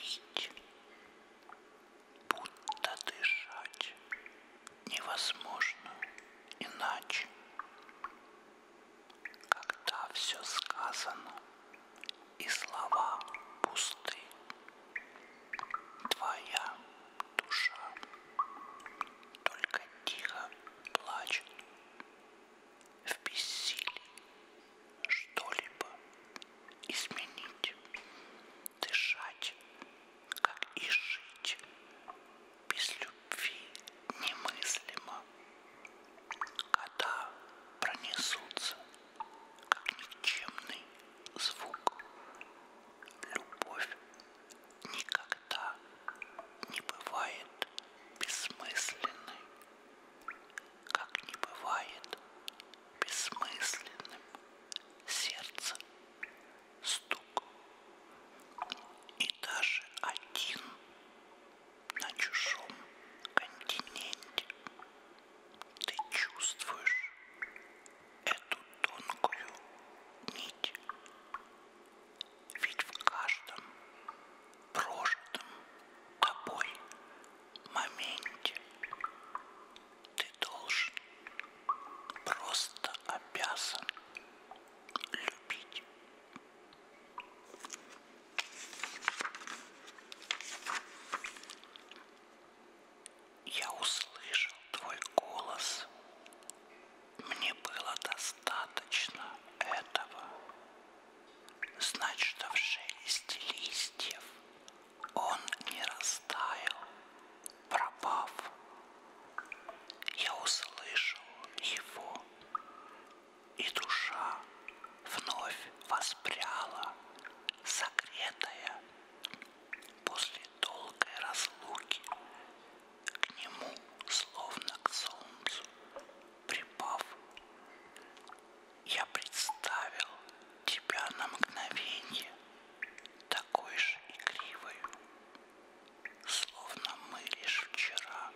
Любить, будто дышать, невозможно иначе когда все сказано и слова пусты. Твоя душа только тихо плачет в бессилии что-либо изменить, дышать, как и жить без любви немыслимо. Когда пронесутся, как никчемный звук, любовь никогда не бывает бессмысленной, как не бывает бессмысленным сердце стук. И даже один на чужом континенте. Ты чувствуешь эту тонкую нить. Ведь в каждом прожитом тобой моменте ты должен, просто обязан любить. Я услышал твой голос. Мне было достаточно этого. Знать, что в шелесте листьев он не растаял, пропав. Я услышал его. И душа вновь воспряла, согретая после долгой разлуки к нему, словно к солнцу, припав. Я представил тебя на мгновение такой же игривою, словно мы лишь вчера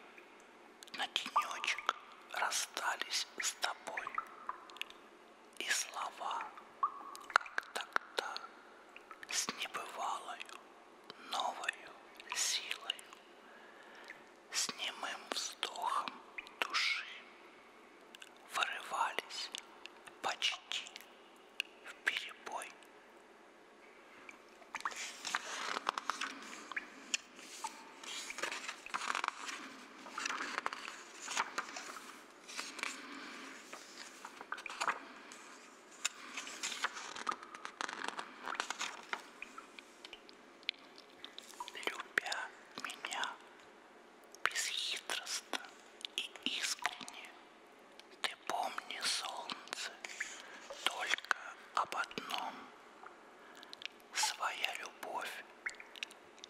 на денечек расстались с тобой. И слова, как тогда, с небывалою новою силою, с немым вздохом души вырывались почти в перебой. Любя меня бесхитростно и искренне, ты помни, солнце, только об одном. Своя любовь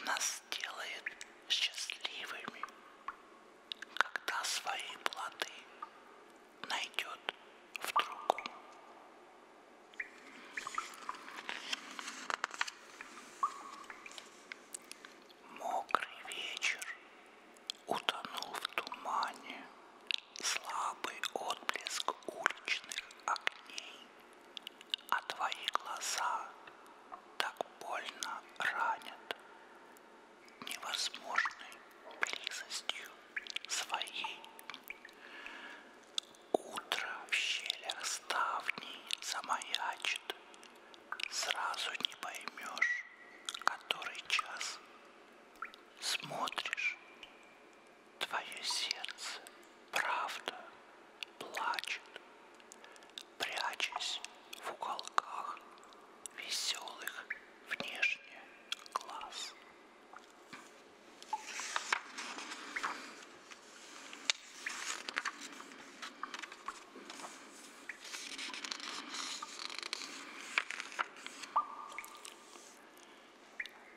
нас делает счастливыми, когда свои плоды найдет в другом. Мокрый вечер утонул в тумане. Слабый отблеск уличных огней, а твои глаза так больно ранят невозможной близостью своей. Утро в щелях ставней замаячит, сразу не поймешь, который час смотришь, твое сердце, правда, плачет, прячась в уголках веселых внешне глаз.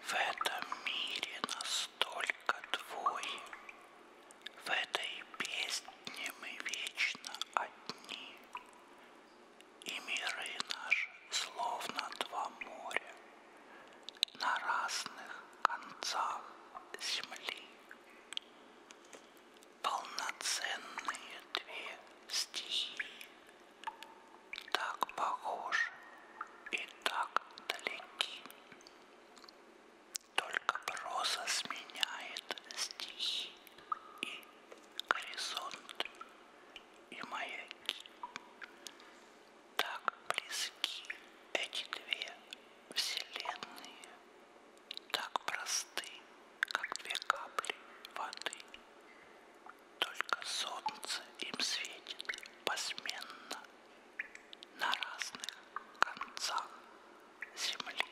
В этом мире настолько двое, в этой песне мы вечно одни, и миры наши словно два моря на разных концах земли полноценные две стихии, так похожи и так далеки. Только проза сменяет стихи и горизонт, и маяки. Так близки эти две вселенные так просты, как две капли воды. Только солнце им светит посменно на разных концах земли.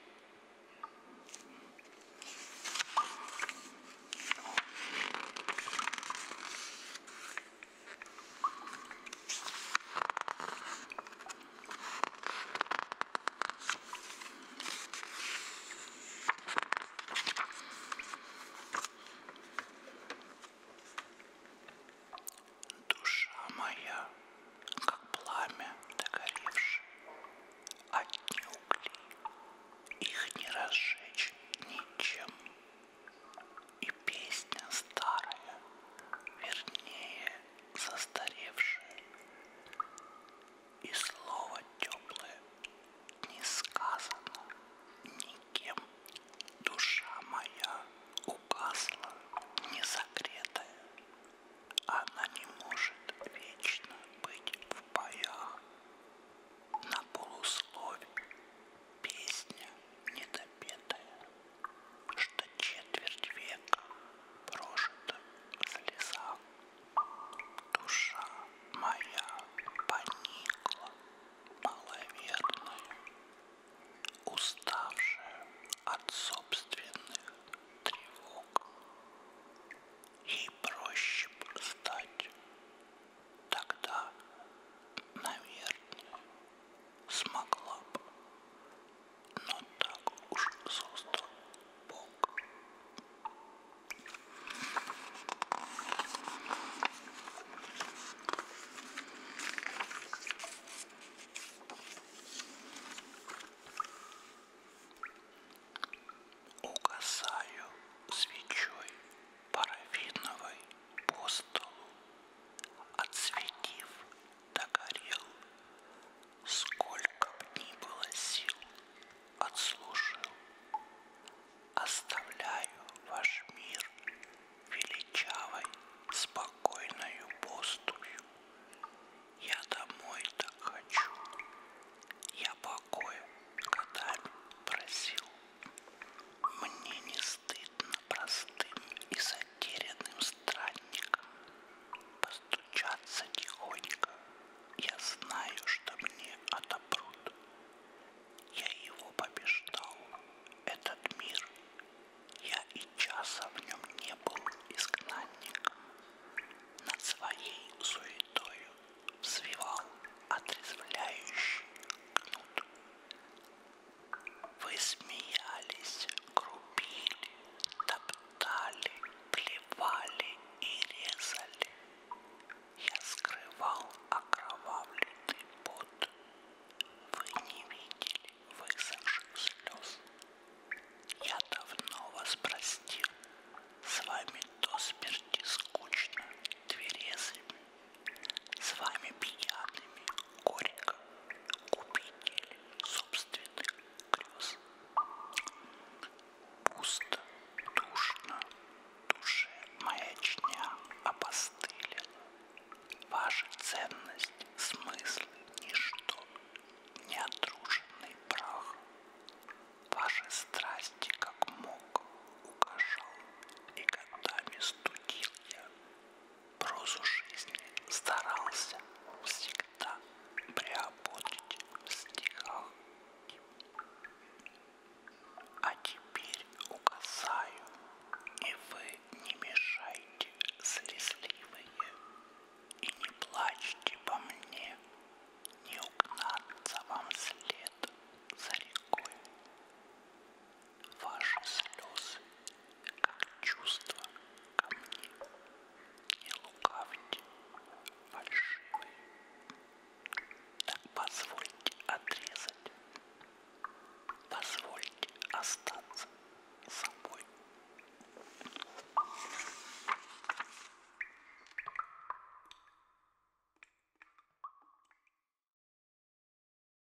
Душа моя, как пламя догоревшее, от угли, их не разжечь ничем. И песня старая, вернее, застаревшие, и слово теплое не сказано никем. Душа моя угасла, не согретая, она не может вечно быть в боях. На полуслове песня недопетая что четверть века прожита в слезах. Душа моя поникла, маловерная, уставшая от собственных тревог. Ей проще стать тогда, наверное, смогла бы, но так уж создал Бог. Угасаю свечой парафиновой по столу, отсветив догорел, сколько б ни было сил, отслужил. Оставляю ваш мир величавой, спокойною поступью. Я домой так хочу, я покоя годами просил. Мне не стыдно простым и затерянным странником, постучаться тихонько. Я знаю, что мне отопрут. Я его побеждал, этот мир. Я и часа в нем не был изгнанником. Над своей суетою взвивал отрезвляющий кнут. Вы смеялись, грубили, топтали, плевали и резали. Я скрывал окровавленный пот. Вы не видели высохших слез. Я давно вас простил. С вами до смерти скучно, тверезыми. С вами пьяными, Горько убедили собственных грез. Пусто, душно, душе маячня опостылена. Ваша ценность, смыслы, ничто, неотруженный прах. Ваши страсти, как мог, угожал, и годами студил я прозу жизни старался всегда приободить в стихах. А теперь указаю, и вы не мешайте, слезливые, и не плачьте по мне, не угнаться вам след за рекой ваши слезы, как чувства ко мне. Не лукавьте, фальшивые. Так позвольте отрезать, позвольте остаться собой.